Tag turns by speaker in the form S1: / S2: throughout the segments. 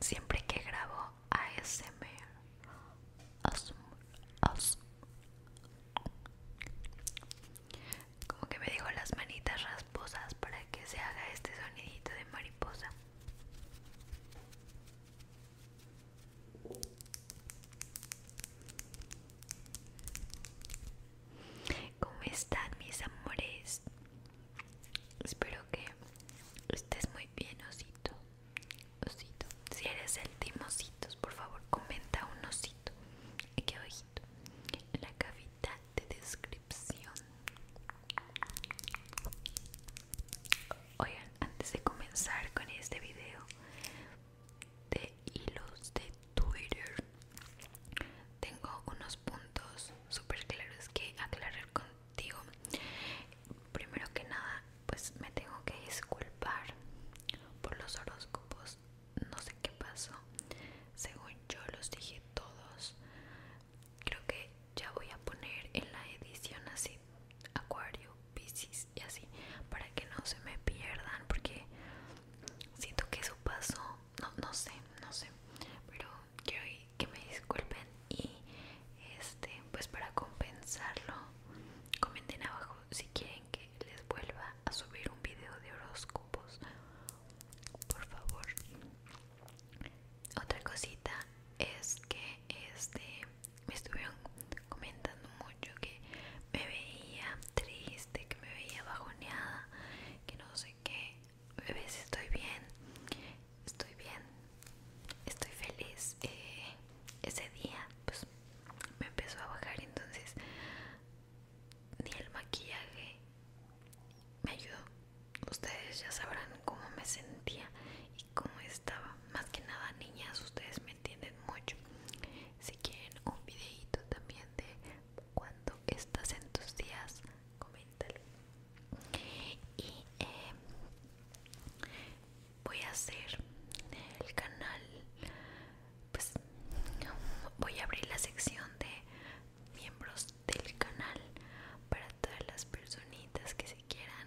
S1: Siempre que grabo ASMR, como que me digo las manitas rasposas para que se haga este sonidito de mariposa. ¿Cómo están mis amores? Espero que estés muy bien, osito. Osito, si eres el team ositos, por favor comenta un osito. ¿Qué ojito? en la cajita de descripción Oigan, antes de comenzar con este video de hilos de Twitter Tengo unos puntos súper claros que aclarar contigo Primero que nada, pues me tengo que disculpar por los horóscopos no sé qué pasó según yo los dije todos creo que ya voy a poner en la edición así acuario piscis y así para que no se me pierdan porque siento que eso pasó no no sé no sé pero quiero que me disculpen y este pues para compensarlo comenten abajo si quieren que les vuelva a subir un video de horóscopos por favor otra cosita es que este me estuvieron comentando mucho que me veía triste, que me veía bajoneada, que no sé qué. Bebés, estoy bien, estoy bien, estoy feliz. Eh, ese día pues me empezó a bajar entonces ni el maquillaje me ayudó. Ustedes ya sabrán cómo me sentía y cómo estaba. Más que nada, niñas, ustedes me entienden mucho. Si quieren un videito también de cuando estás en tus días, coméntalo. Y em, voy a hacer el canal, pues voy a abrir la sección de miembros del canal para todas las personitas que se quieran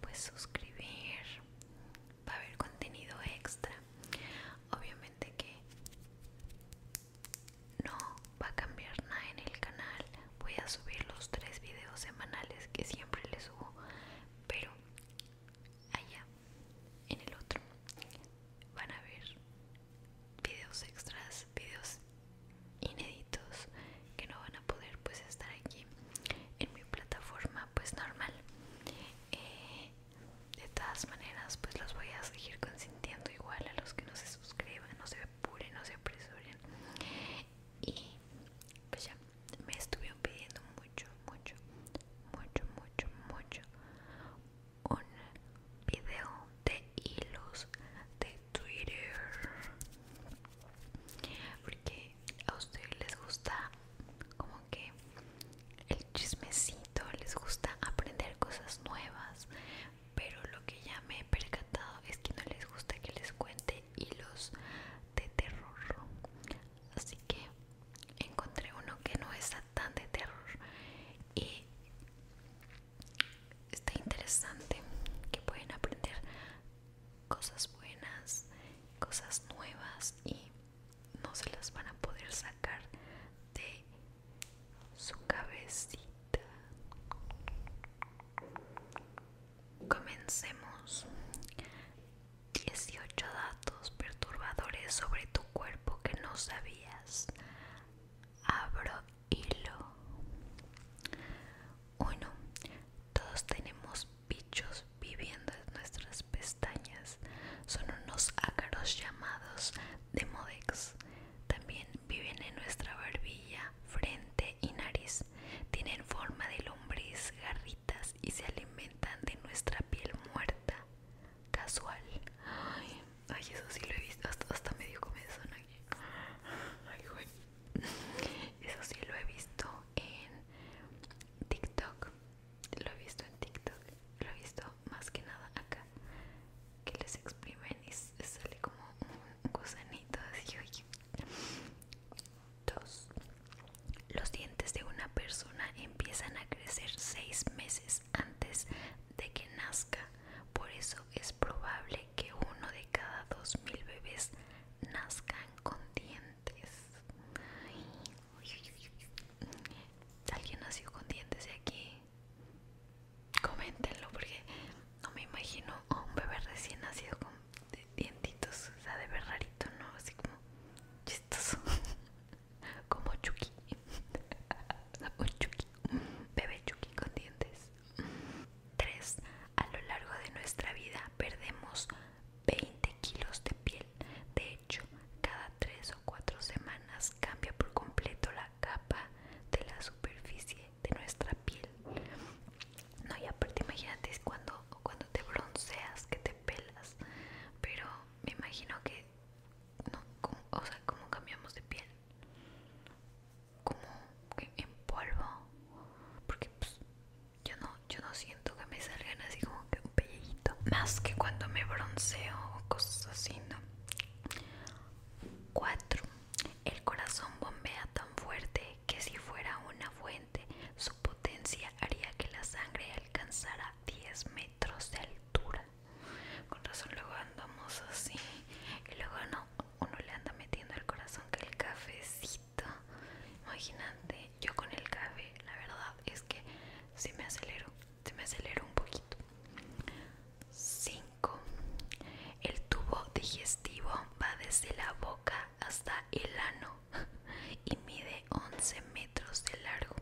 S1: pues suscribir va a haber contenido extra obviamente que no va a cambiar nada en el canal voy a subir los tres videos semanales que siempre les subo pero allá en el otro van a ver Vídeos extras, Vídeos inéditos que no van a poder pues estar aquí en mi plataforma pues normal eh, de todas maneras pues los voy a seguir consintiendo igual a los que no se suscriban no se apuren no se apresuren y pues ya me estuvieron pidiendo mucho mucho mucho mucho mucho un video de hilos de Twitter porque a ustedes les gusta como que el chismecito les gusta aprender cosas nuevas pero lo que ya me he percatado es que no les gusta que les cuente hilos de terror así que encontré uno que no está tan de terror y está interesante que pueden aprender cosas buenas cosas nuevas y no se las van a poder sacar de su cabecita comencemos 18 datos perturbadores sobre tu cuerpo que no sabías abro hilo 1 todos tenemos bichos viviendo en nuestras pestañas son unos ácaros llamados demodex también viven en nuestra barbilla frente y nariz tienen forma de lombriz garritas y se alimentan de nuestra piel muerta casual Ay, eso sí lo he visto. Hasta, medio comenzó Ay, güey. Eso sí lo he visto en TikTok. Lo he visto en TikTok. Lo he visto más que nada acá. Que les exprimen y sale como un gusanito así, oye. Dos. Los dientes de una persona empiezan a crecer seis meses antes de que nazca. Por eso es probable que uno de cada dos mil bebés nazcan con dientes. ¿Alguien nació con dientes de aquí? Coméntenlo porque no me imagino a un bebé recién nacido con dientitos, o sea, de ver rarito, ¿no? Así como chistoso, como Chucky, o Chucky, bebé Chucky con dientes. 3. A lo largo de nuestra vida perdemos 20 kilos de piel. De hecho, cada 3 o 4 semanas cambia por completo la capa de la superficie de nuestra piel. No, y aparte imagínate cuando, cuando te bronceas que te pelas. Pero me imagino que no, o sea, como cambiamos de piel como en polvo porque pues, yo no yo no siento que me salgan así como que un pellejito más que cuando me bronceo o cosas así no 4 el corazón bombea tan fuerte que si fuera una fuente su potencia haría que la sangre alcanzara 10 metros de altura con razón luego andamos así y luego no uno le anda metiendo el corazón que el cafecito. Imagínate, yo con el café, la verdad es que se me acelero, se me acelero un poquito. 5. El tubo digestivo va desde la boca hasta el ano y mide 11 metros de largo.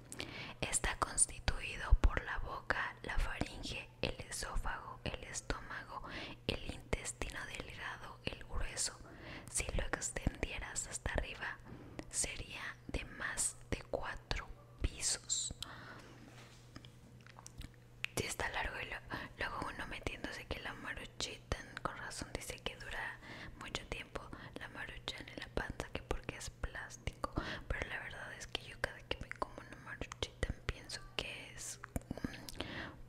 S1: Está constituido por la boca, la faringe el esófago, el estómago, el intestino delgado, el grueso. Si lo extendieras hasta arriba, sería de más de cuatro pisos. Si está largo y luego uno metiéndose que la maruchita, con razón dice que dura mucho tiempo la maruchita en la panza, que porque es plástico. Pero la verdad es que yo cada que me como una maruchita pienso que es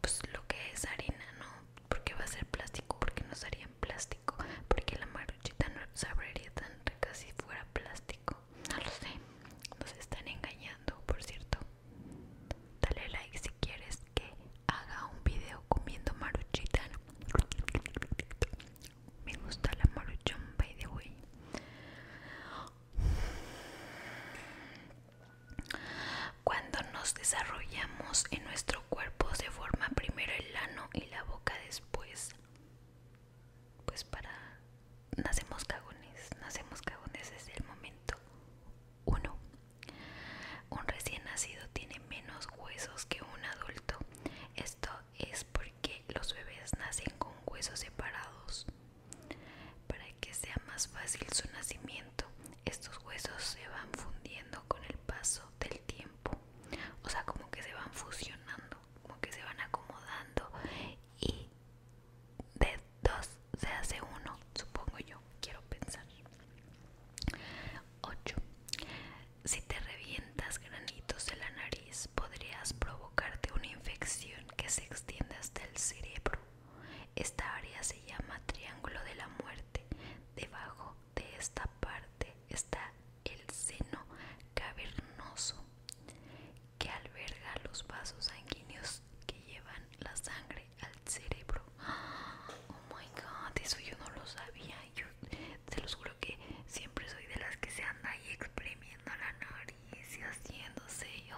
S1: pues lo que es harina, ¿no? Porque va a ser plástico, porque no sería en plástico, porque la maruchita no sabría tan rica si fuera plástico. No lo sé, nos están engañando, por cierto. Dale like si quieres que haga un video comiendo maruchita. Me gusta la maruchan, by the way. Cuando nos desarrollamos en nuestro cuerpo se forma primero el ano y la boca después. Pues para... Nacemos cagones, nacemos cagones desde el momento 1. Un recién nacido tiene menos huesos que un adulto. Esto es porque los bebés nacen con huesos separados. Para que sea más fácil su nacimiento, estos huesos se van fundiendo con el paso del tiempo. O sea, como que se van fusionando, como que se van acomodando y de dos se hace uno, supongo yo, quiero pensar. 8. Si te revientas granitos de la nariz, podrías provocar provocarte una infección que se extiende hasta el cerebro. Esta área se llama triángulo de la muerte. Debajo de esta parte está el seno cavernoso que alberga los vasos sanguíneos que llevan la sangre al cerebro. Oh my god, eso yo no lo sabía. Yo se los juro que siempre soy de las que se anda ahí exprimiendo la nariz y haciéndose. Yo,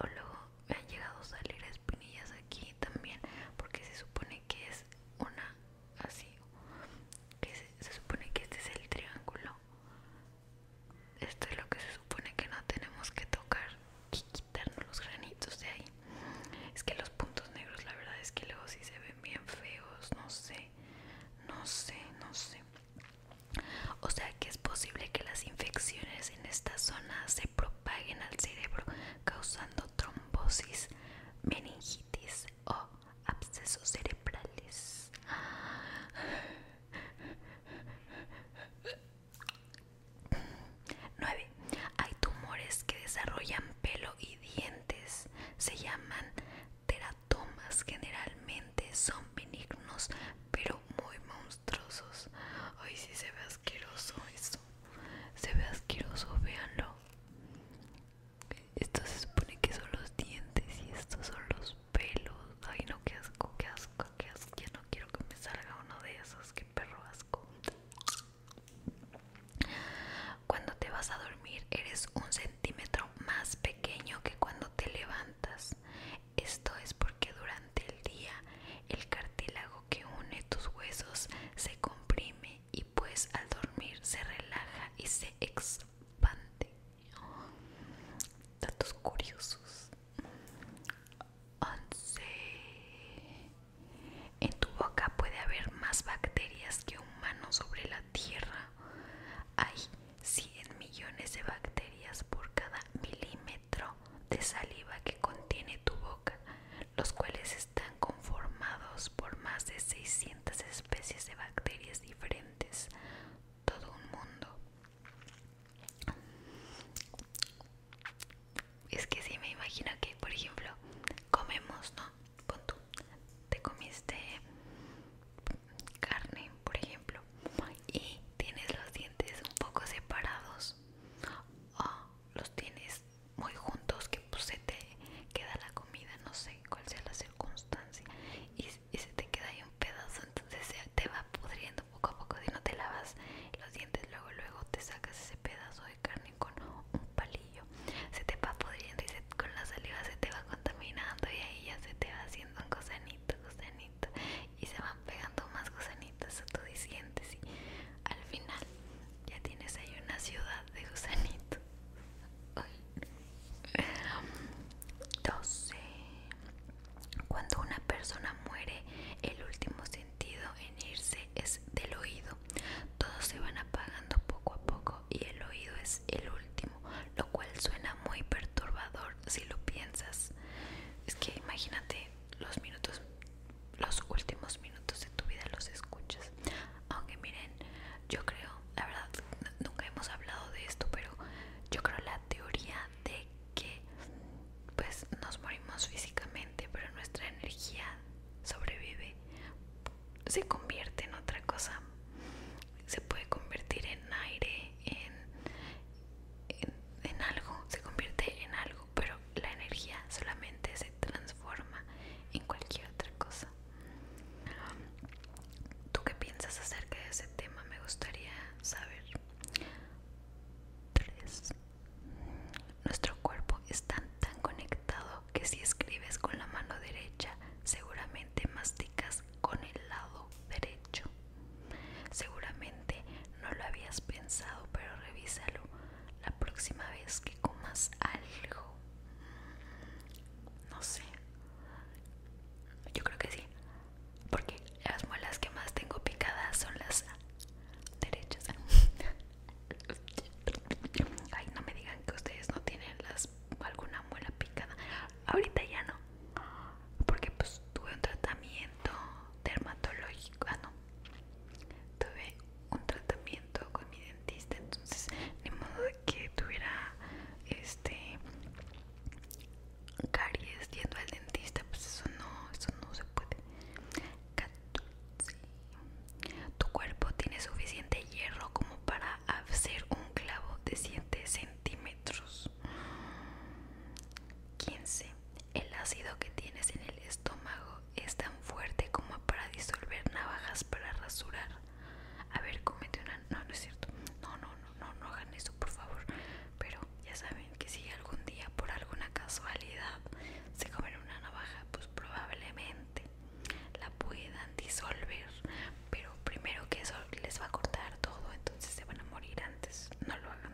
S1: o luego han llegado a salir espinillas aquí también porque se supone que es una así que se, supone que este es el triángulo esto es lo que se supone que no tenemos que tocar y quitarnos los granitos de ahí es que los puntos negros la verdad es que luego sí se ven bien feos no sé no sé no sé o sea que es posible que las infecciones en esta zona se propaguen al cerebro causando trombosis, meningitis o abscesos cerebrales. 9. Hay tumores que desarrollan pelo y dientes. Se llaman teratomas. Generalmente son benignos, pero muy monstruosos. Ay, sí se ve asqueroso eso. Se ve asqueroso, véanlo. Esto se supone que son los dientes y estos son los pelos. Ay, no, qué asco, qué asco, qué asco. Ya no quiero que me salga uno de esos, qué perro asco. Cuando te vas a dormir eres un centímetro más pequeño que cuando te levantas. Esto es porque durante el día el cartílago que une tus huesos se comprime y pues al dormir se relaja y se expande. Datos curiosos. 11. En tu boca puede haber más bacterias que humanos sobre la tierra. Hay 100 millones de bacterias por cada milímetro de saliva que contiene tu boca, los cuales están conformados por más de 600 especies de bacterias diferentes, todo un mundo. Es que si me imagino que, por ejemplo, comemos, ¿no? Con tú, te comiste carne, por ejemplo, y tienes los dientes un poco separados o los tienes muy juntos, que pues, se te queda la comida, no sé cuál sea la circunstancia, y, se te queda ahí un pedazo, entonces se te va pudriendo poco a poco. Si no te lavas los dientes, luego, luego te sacas ese pedazo de carne con un palillo, se te va pudriendo y con la saliva se te va contaminando, y ahí ya se te va haciendo un gozanito, y se van pegando más gusanitos a tu dientes y al final ya tienes ahí una ciudad de gusanitos. 12. Cuando una persona muere, el último sentido en irse es del oído. Todos se van apagando poco a poco y el oído es el último, lo cual suena muy perturbador si lo piensas. Es que imagínate los minutos, los últimos minutos de tu vida los escuchas. Aunque miren, yo creo, la verdad, nunca hemos hablado de esto, pero yo creo la teoría de que pues nos morimos físicamente, pero nuestra energía sobrevive, se convierte en otra cosa, se puede convertir en aire, en, en, algo, se convierte en algo, pero la energía solamente se transforma en cualquier otra cosa. ¿Tú qué piensas acerca de ese tema? Me gustaría saber. 3. Nuestro cuerpo está tan conectado que si escribes con la mano derecha, seguramente masticas con el lado derecho. Seguramente no lo habías pensado, pero revísalo la próxima vez que comas algo. No sé. Yo creo que sí. Porque las muelas que más tengo picadas son las derechas. Ay, no me digan que ustedes no tienen las alguna muela picada ahorita ya no porque pues tuve un tratamiento dermatológico ah, tuve un tratamiento con mi dentista entonces ni modo que tuviera este caries yendo al dentista pues eso no eso no se puede tu cuerpo tiene suficiente hierro como para hacer un clavo de 7 centímetros 15. El ácido que tienes en el estómago es tan fuerte como para disolver navajas para rasurar. A ver, comete una... No, no es cierto. No, no, no, no, no hagan eso, por favor. Pero ya saben que si algún día por alguna casualidad se comen una navaja, pues probablemente la puedan disolver. Pero primero que eso les va a cortar todo, entonces se van a morir antes no lo hagan.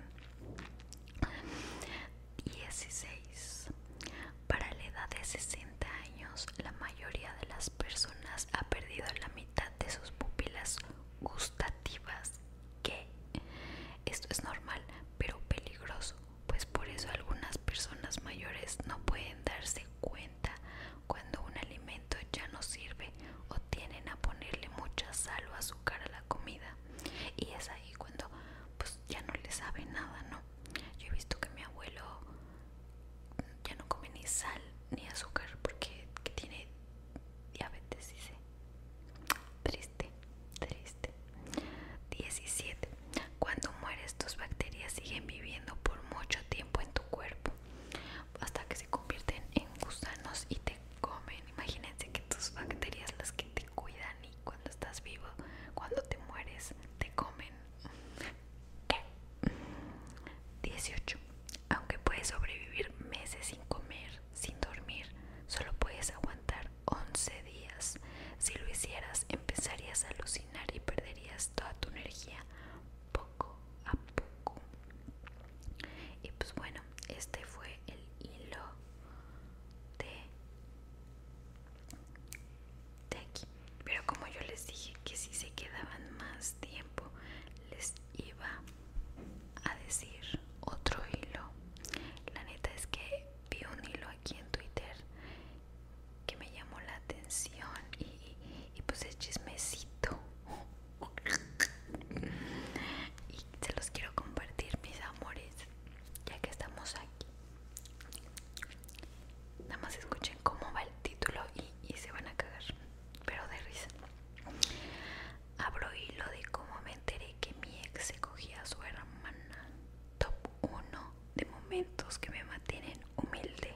S1: 16. Para la edad de 60 años, la mayoría de las personas ha perdido la mitad de sus pupilas gustativas. Que Esto es normal, pero peligroso, pues por eso algunas personas mayores no pueden darse cuenta cuando un alimento ya no sirve o tienen a ponerle mucha sal o azúcar a la comida y es ahí cuando pues ya no le sabe nada, ¿no? Yo he visto que mi abuelo ya no come ni sal ni azúcar porque tiene diabetes, ¿sí? Triste, triste. 17. Cuando mueres tus bacterias siguen viviendo por mucho tiempo en tu cuerpo hasta que se convierten en gusanos y te comen. Imagínense que tus bacterias, las que te cuidan y cuando estás vivo, cuando te mueres, te comen. 18. Aunque puedes sobrevivir meses sin comer, sin dormir, solo puedes aguantar 11 días. Si lo hicieras, empezarías a alucinar y perderías toda tu energía poco a poco. Y pues bueno, este fue el hilo de aquí Pero como yo les dije que si se quedaban más tiempo, les iba a decir otro hilo. La neta es que vi un hilo aquí en Twitter que me llamó la atención y, y, y pues es chismecito y se los quiero compartir mis amores ya que estamos aquí nada más escuchen cómo va el título y, se van a cagar pero de risa abro hilo de cómo me enteré que mi ex se cogía a su hermana top 1 de momentos que me mantienen humilde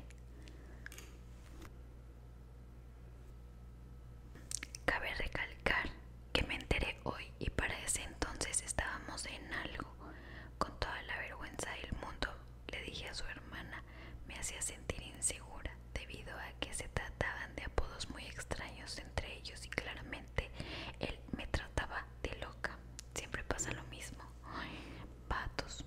S1: Cabe recalcar que me enteré hoy y para ese entonces estábamos en algo. Con toda la vergüenza del mundo le dije a su hermana, me hacía sentir insegura debido a que se trataban de apodos muy extraños entre ellos y claramente él me trataba de loca. Siempre pasa lo mismo. patos.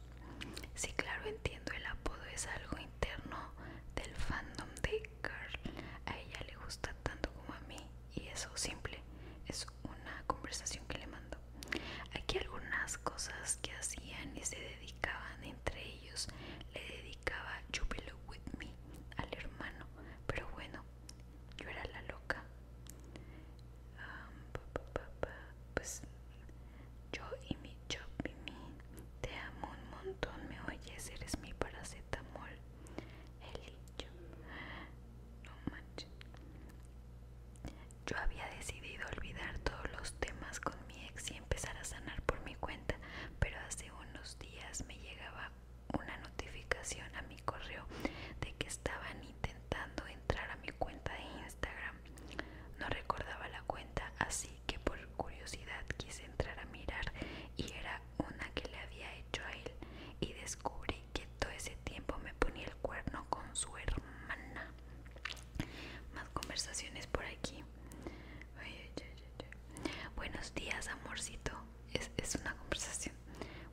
S1: Sí, claro, entiendo, el apodo es algo interno del fandom de Carl a ella le gusta tanto como a mí y eso simple es una conversación que le mando. Aquí algunas cosas que hacían y se dedicaban entre ellos. Le dedicaba You With Me al hermano, pero bueno, yo era la loca. pues yo y mi yo, te amo un montón, me oyes, eres mi paracetamol. Eli, no manches. Yo había decidido olvidar todos los temas con mi ex y empezar a sanar por mi cuenta, pero hace unos días me llegaba una notificación a mi correo de que estaban intentando entrar a mi cuenta de Instagram. No recordaba la cuenta, así que por curiosidad quise entrar a mirar y era una que le había hecho a él y descubrí que todo ese tiempo me ponía el cuerno con su hermana. Más conversaciones por aquí. Buenos días, amorcito. Es, es una conversación.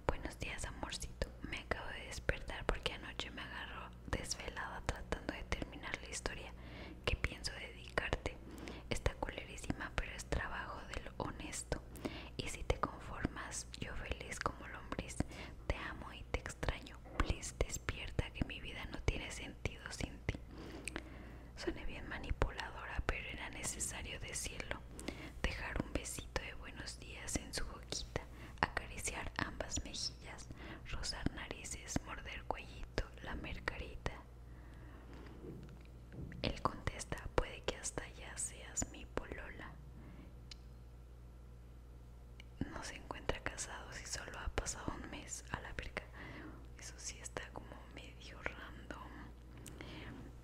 S1: Buenos días, amorcito. Me acabo de despertar porque anoche me agarró desvelada tratando de terminar la historia que pienso dedicarte. Está culerísima, pero es trabajo del honesto. Y si te conformas, yo feliz como lombriz, te amo y te extraño. Please, despierta que mi vida no tiene sentido sin ti. Suene bien manipuladora, pero era necesario decirlo. Dejar un besito de buenos días en su boquita, acariciar ambas mejillas, rozar narices, morder cuellito, la mergarita. Él contesta, puede que hasta ya seas mi polola. No se encuentra casado si solo ha pasado un mes a la perca Eso sí está como medio random.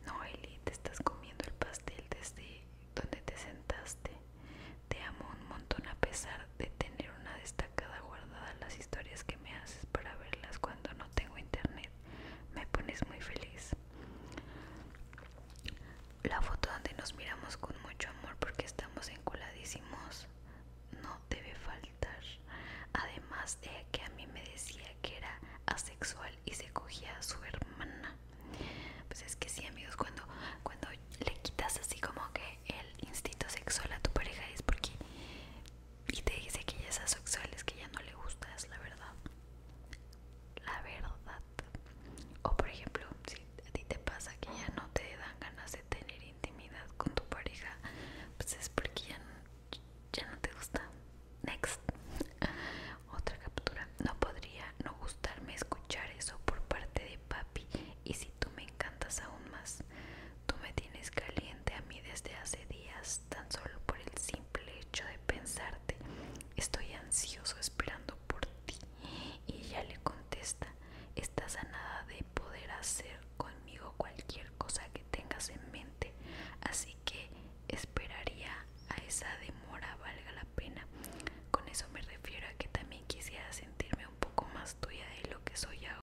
S1: No, Eli, te estás comiendo el pastel desde donde te sentaste. Te amo un montón a pesar de tener una destacada guardada las historias que me haces para verlas cuando no tengo internet. Me pones muy feliz. La foto donde nos miramos con mucho amor porque estamos enculadísimos no debe faltar. Además de que a mí me decía que era asexual y se cogía a su hermana. Pues es que sí, amigos, cuando, cuando le quitas así como que el instinto sexual a tu pareja es porque y te dice que ya es asexual, que ya no le gusta, es la verdad. La verdad. O por ejemplo, si a ti te pasa que ya no te dan ganas de tener intimidad con tu pareja, pues es porque ya ya no te gusta. Next. Otra captura. No podría no gustarme escuchar eso por parte de papi y si tú me encantas aún más. Tú me tienes caliente a mí desde hace días, tan solo por el simple hecho de pensarte. Estoy ansioso esperando por ti. Y ella le contesta, estás a nada de poder hacer conmigo cualquier cosa que tengas en mente, así que esperaría a esa demora valga la pena. Con eso me refiero a que también quisiera sentirme un poco más tuya de lo que soy ahora.